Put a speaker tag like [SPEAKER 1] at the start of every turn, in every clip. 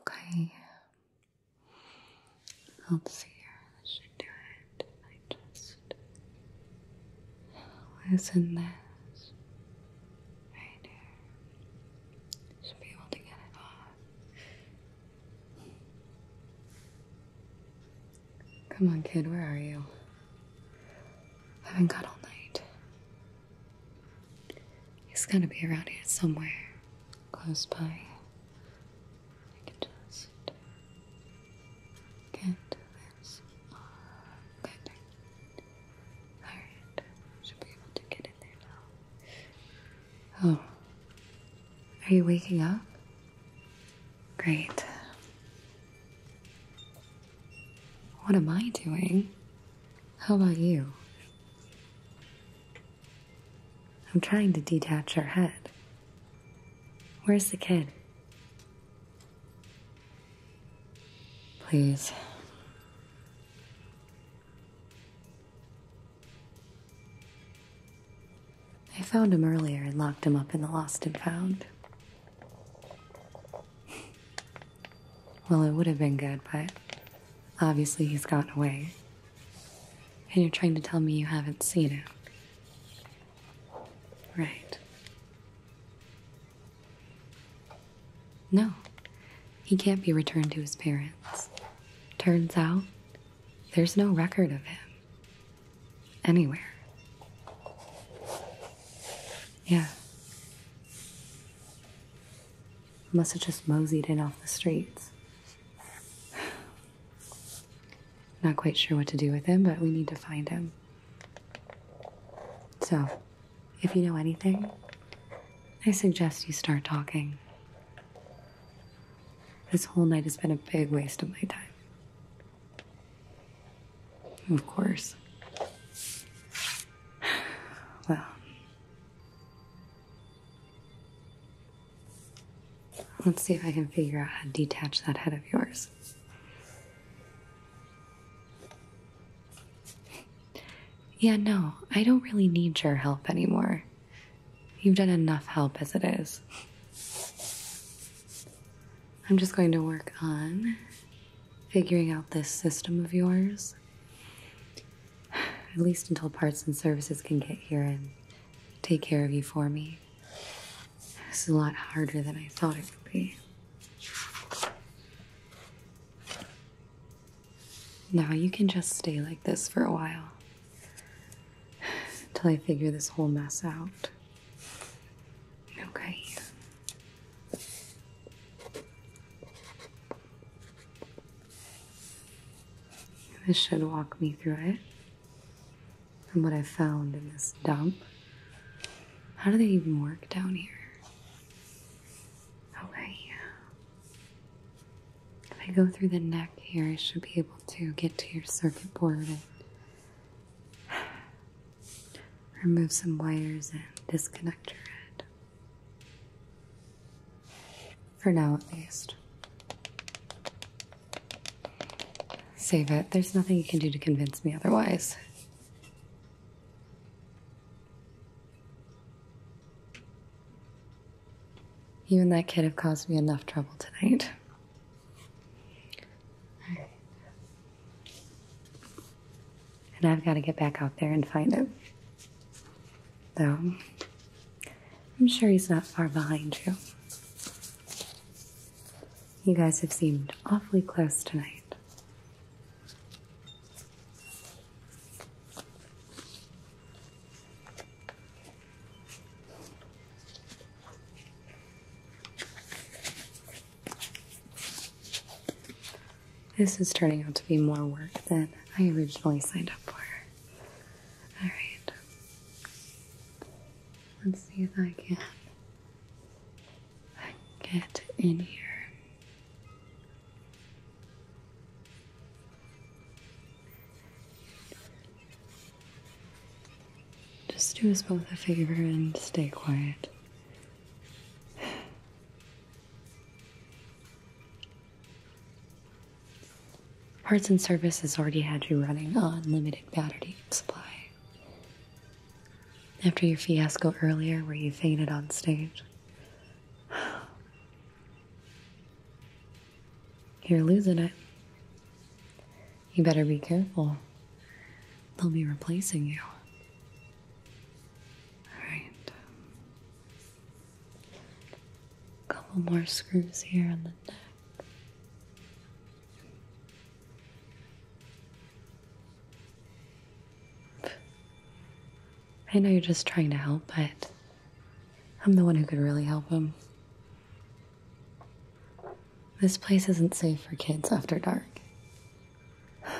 [SPEAKER 1] Okay. Let's see here. I should do it. I just listen this right here. Come on, kid, where are you? I haven't got all night. He's gotta be around here somewhere, close by. I can just get this off. Oh. Are you waking up? Great. What am I doing? How about you? I'm trying to detach her head. Where's the kid? Please. I found him earlier and locked him up in the lost and found. well, it would have been good, but obviously he's gotten away. And you're trying to tell me you haven't seen him. Right. No, he can't be returned to his parents. Turns out, there's no record of him. Anywhere. Yeah. Must have just moseyed in off the streets. Not quite sure what to do with him, but we need to find him. So, if you know anything, I suggest you start talking. This whole night has been a big waste of my time. Of course. Well, let's see if I can figure out how to detach that head of yours. Yeah, no, I don't really need your help anymore. You've done enough help as it is. I'm just going to work on figuring out this system of yours. At least until parts and services can get here and take care of you for me. This is a lot harder than I thought it would be. Now you can just stay like this for a while until I figure this whole mess out. Okay. This should walk me through it. And what I found in this dump. How do they even work down here? away. If I go through the neck here, I should be able to get to your circuit board and remove some wires and disconnect your head. For now, at least. Save it. There's nothing you can do to convince me otherwise. You and that kid have caused me enough trouble tonight. And I've got to get back out there and find him. Though, I'm sure he's not far behind you. You guys have seemed awfully close tonight. This is turning out to be more work than I originally signed up for. Alright. Let's see if I can get in here. Just do us both a favor and stay quiet. Parts and Services already had you running on limited battery supply. After your fiasco earlier where you fainted on stage, you're losing it. You better be careful. They'll be replacing you. Alright. A couple more screws here on the neck. I know you're just trying to help, but I'm the one who could really help him. This place isn't safe for kids after dark. I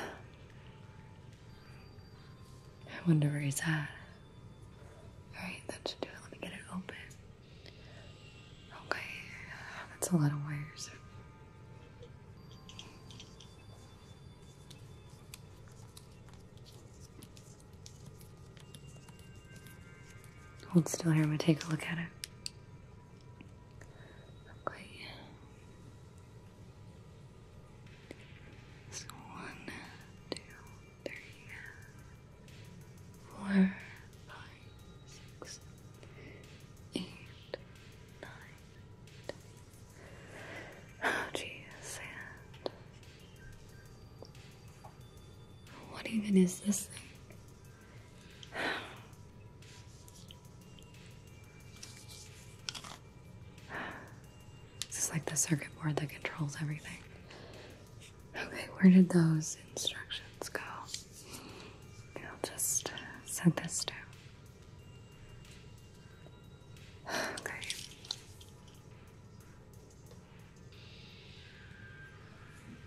[SPEAKER 1] wonder where he's at. Alright, that should do it. Let me get it open. Okay, that's a lot of wires. Hold still here, I'm take a look at it. Okay. one, two, three, four, five, six, eight, nine, ten, jeez, what even is this thing? This is like the circuit board that controls everything. Okay, where did those instructions go? I'll just uh, send this down. Okay.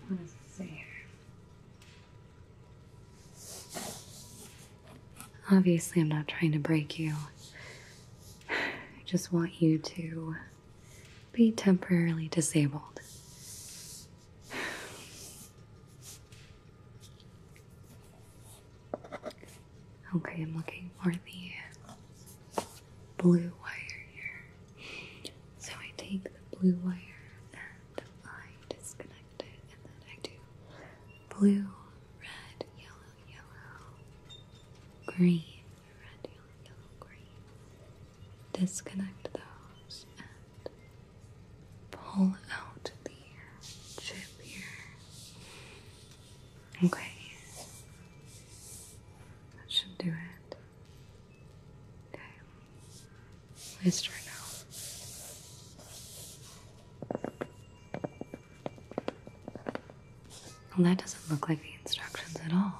[SPEAKER 1] What does it say here? Obviously, I'm not trying to break you. I just want you to be temporarily disabled.
[SPEAKER 2] Okay, I'm looking for the blue
[SPEAKER 1] wire here. So I take the blue wire and disconnect it, and then I do blue, red, yellow, yellow, green, red, yellow, yellow, green.
[SPEAKER 2] Disconnect those and pull out the chip here. Okay.
[SPEAKER 1] That should do it. Okay. Let's try now. Well, that doesn't look like the instructions at all.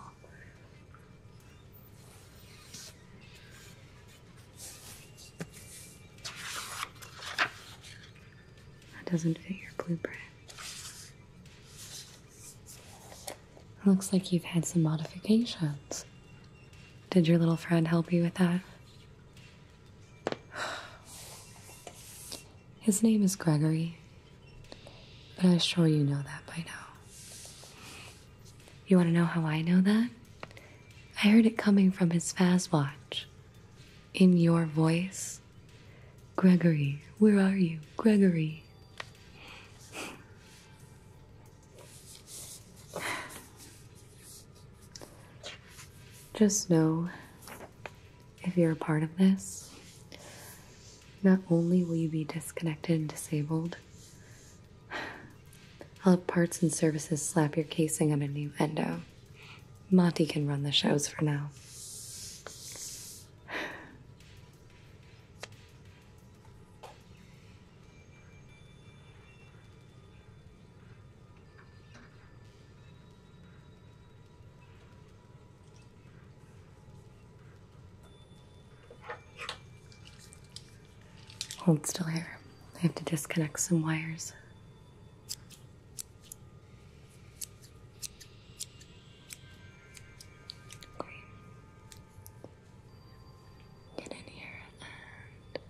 [SPEAKER 1] That doesn't fit your blueprint. Looks like you've had some modifications. Did your little friend help you with that? His name is Gregory, but I'm sure you know that by now. You want to know how I know that? I heard it coming from his fast watch. In your voice, Gregory, where are you? Gregory. Just know if you're a part of this, not only will you be disconnected and disabled, I'll have parts and services slap your casing on a new endo. Monty can run the shows for now. Hold still here. I have to disconnect some wires. Get in here, and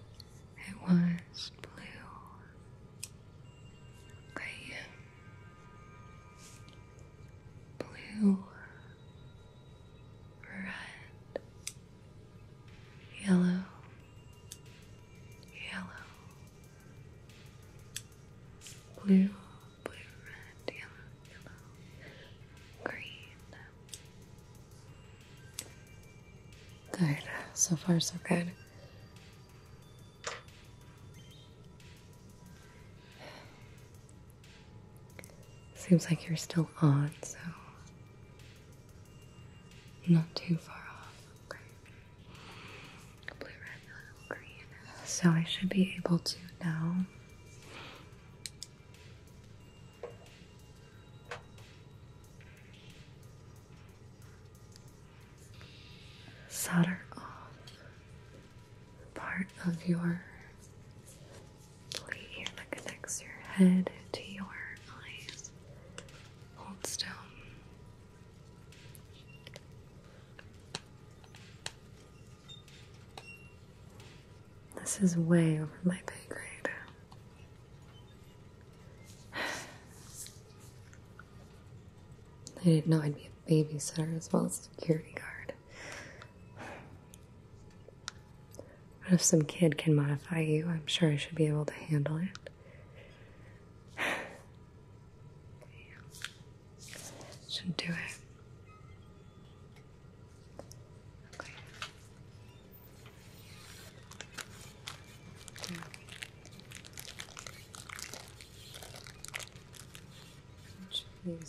[SPEAKER 1] it was blue. Okay.
[SPEAKER 2] Blue, red, yellow, yellow, blue, blue, red, yellow, yellow,
[SPEAKER 1] green. Good. So far, so good. Seems like you're still on, so not too far off. So I should be able to now solder off part of your
[SPEAKER 2] plate that connects your head to your eyes. Hold still.
[SPEAKER 1] This is way over my pay grade. I didn't know I'd be a babysitter as well as security guard. But if some kid can modify you, I'm sure I should be able to handle it. Should do it. Okay. Yeah. Which views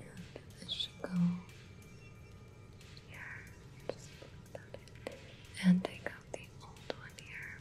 [SPEAKER 2] And this go here. And take out the old one here.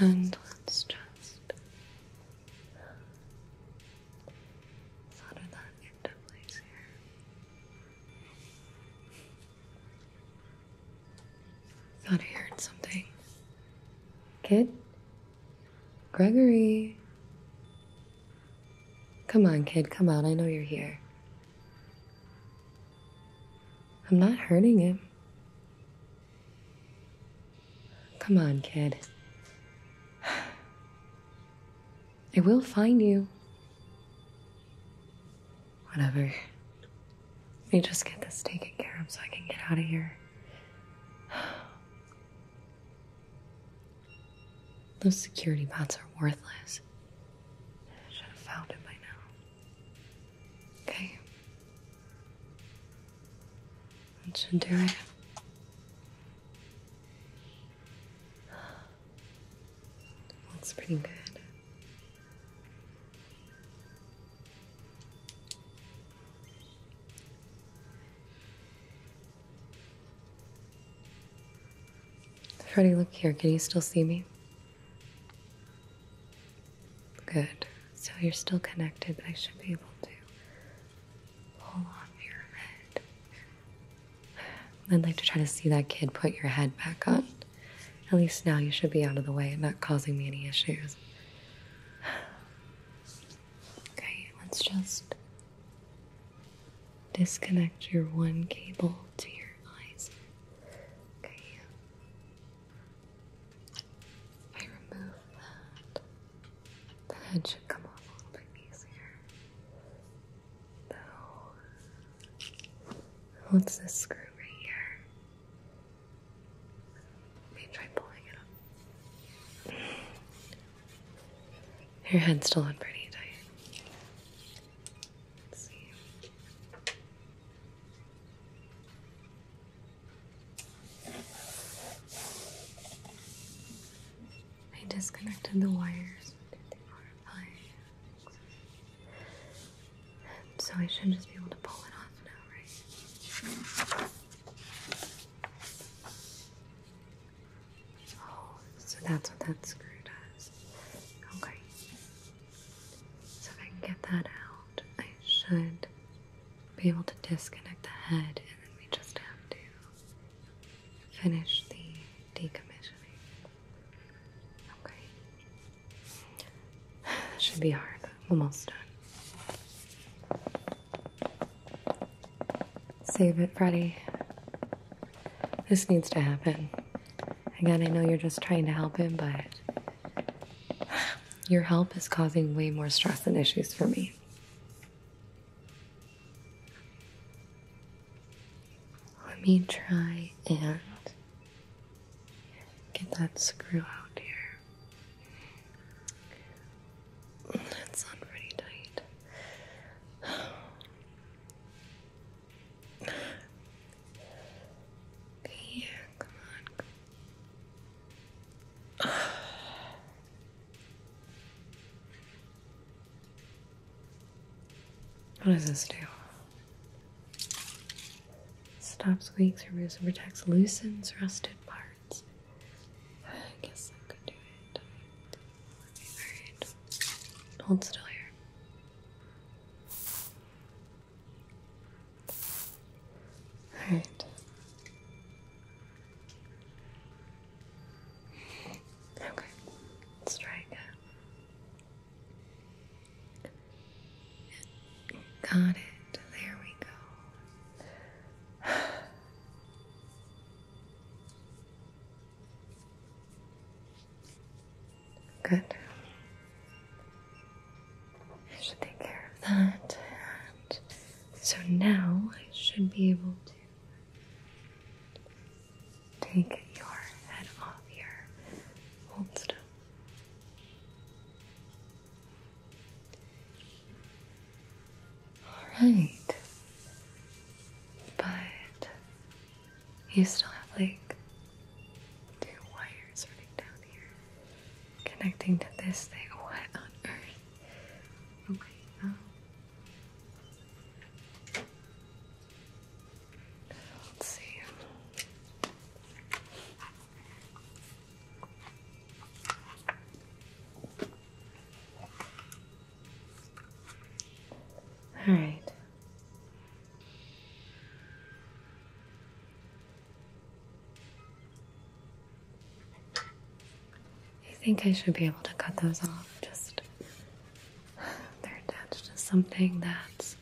[SPEAKER 2] And let's just solder that into place
[SPEAKER 1] here. Thought I heard something. Kid? Gregory. Come on, kid, come out. I know you're here. I'm not hurting him. Come on, kid. I will find you. Whatever. Let me just get this taken care of so I can get out of here. Those security bots are worthless. should have found it by now. Okay. That should do it. Looks pretty good. Freddie, look here. Can you still see me? Good. So you're still connected. I should be able to hold on your head. I'd like to try to see that kid put your head back on. At least now you should be out of the way and not causing me any issues. Okay, let's just disconnect your one cable to your eyes. Okay. I remove that. The head should come off a little bit easier. Though, what's this screw right here? Let me try pulling it up. Your head's still on pretty tight. I disconnected the wires. so I should just be able to pull it off now, right? Oh, so that's what that screw does. Okay. So if I can get that out, I should be able to disconnect the head, and then we just have to finish the decommissioning. Okay. That should be hard. Almost done. Save it, Freddy. This needs to happen. Again, I know you're just trying to help him, but your help is causing way more stress and issues for me. Let me try and get that screw out
[SPEAKER 2] here. It's on pretty tight. Yeah, come
[SPEAKER 1] on. What does this do? Stops squeaks, removes and protects, loosens rusted parts. I guess I could do it. Alright. Hold still here. Alright.
[SPEAKER 2] Okay. let Got it. There we go.
[SPEAKER 1] Good. I should take care of that. so now I should be able to
[SPEAKER 2] take your head off your Hold stuff. Alright. But you still have like two wires
[SPEAKER 1] running down here connecting to this thing. What on earth? Okay, oh, Let's see. All right. I think I should be able to cut those off. Just they're attached to something that's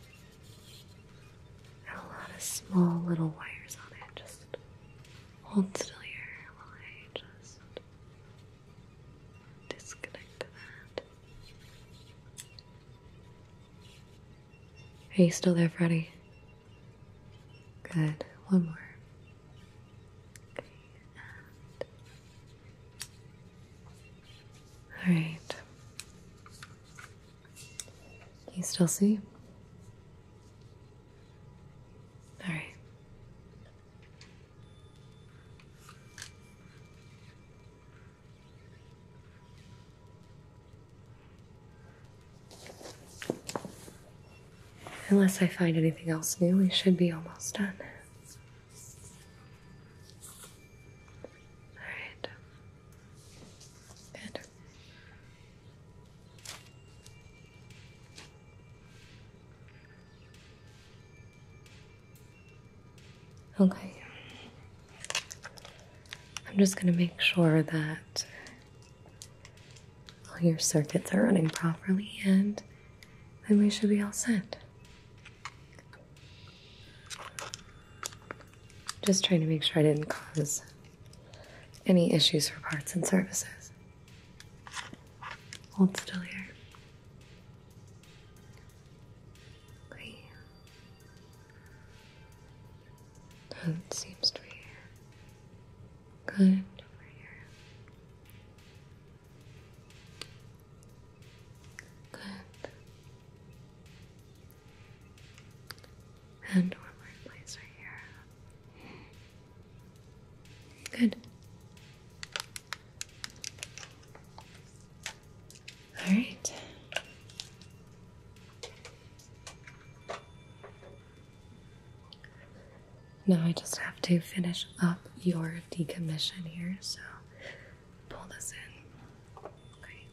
[SPEAKER 1] a lot of small little wires on it. Just
[SPEAKER 2] hold still here while I just Disconnect
[SPEAKER 1] that. Are you still there, Freddy? Good. One more. All right. Can you still see? All right. Unless I find anything else new, we should be almost done. All right. Good. Okay. I'm just going to make sure that all your circuits are running properly and then we should be all set. Just trying to make sure I didn't cause any issues for parts and services.
[SPEAKER 2] Hold still here.
[SPEAKER 1] Okay. That seems to be good
[SPEAKER 2] Good. And one more place right here.
[SPEAKER 1] Good. All right. Now I just have to finish up your decommission here, so pull this in. Okay.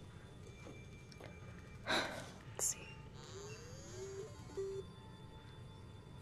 [SPEAKER 2] Let's see.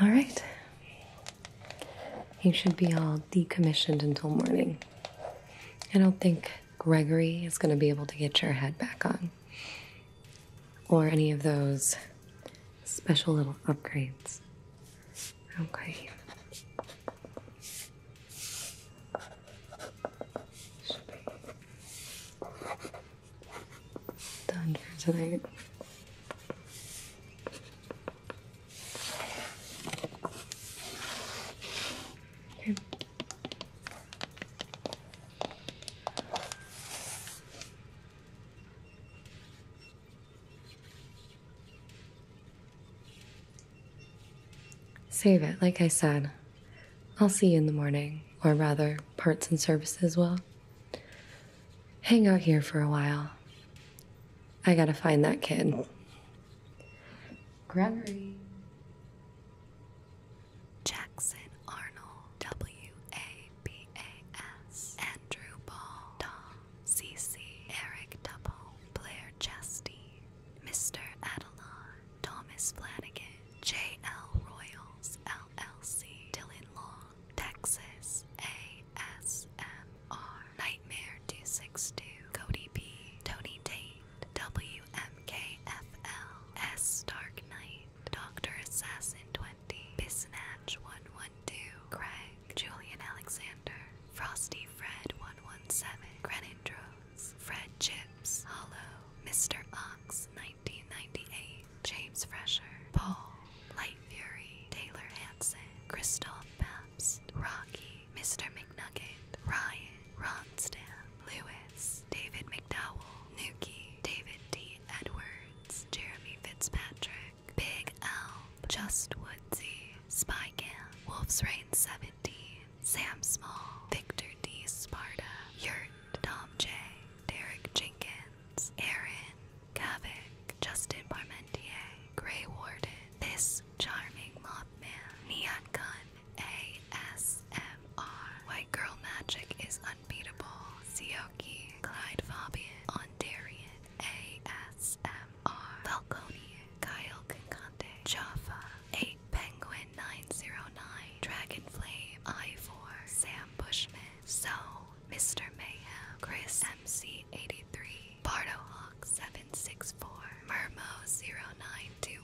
[SPEAKER 1] All right. You should be all decommissioned until morning. I don't think Gregory is going to be able to get your head back on, or any of those special little upgrades. Okay. Done for tonight. Okay. Save it, like I said. I'll see you in the morning, or rather, parts and services will. Hang out here for a while. I gotta find that kid. Gregory. Jackson Arnold, W A B
[SPEAKER 2] A S, Andrew Ball, Tom C C, Eric Double, Blair Chasty, Mr. Adelon, Thomas Flanagan, J.L. Royals, LLC, Dylan Long, Texas, ASMR, Nightmare 262, Cody P, Tony Tate, WMKFL, Dark Knight, Dr. Assassin 20, Bisnatch 112, Craig, Julian Alexander, Frosty Fred 117, Grenindro, Fred Chips, Hollow, Mr. Ox, 1998, James Fresher, Paul, Light Fury, Taylor Hansen, Christoph Pabst, Rocky, Mr. McNugget, Ryan, Ronstan, Lewis, David McDowell, Nuki, David D. Edwards, Jeremy Fitzpatrick, Big L, Just Woodsy, Spy Cam, Wolf's Rain 7, D, Sam Small, Victor D. Sparta, Yurt, Tom J, Derek Jenkins, Aaron, Kavik, Justin Parmentier, Grey Warden, This Charming man, Neon Gun, ASMR, White Girl Magic is Unbeatable, Sioki, Clyde Fabian, Ondarian, ASMR, Falconian, Kyle Kinkante, Jaffa, 8 Penguin 909, Dragonflame I4, Sam Bushman, So, Mr. Mayhem, Chris MC83, Hawk 764, Murmo 0921,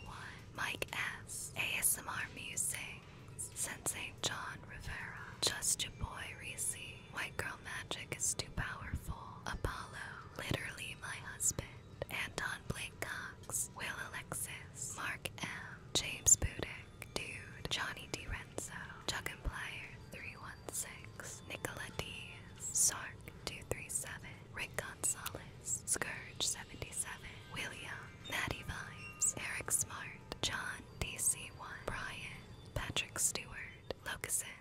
[SPEAKER 2] Mike S, ASMR Musings, Saint John Rivera, Just Your Boy Reese, White Girl Magic is Too Powerful, Apollo, Literally My Husband, Anton Blake Cox, Will Alexis, Mark M, James Budick, Dude, Johnny Chuck and Plier 316, Nicola Diaz, Sark 237, Rick Gonzalez, Scourge 77, William, Maddie Vibes, Eric Smart, John DC1, Brian, Patrick Stewart, Locusin.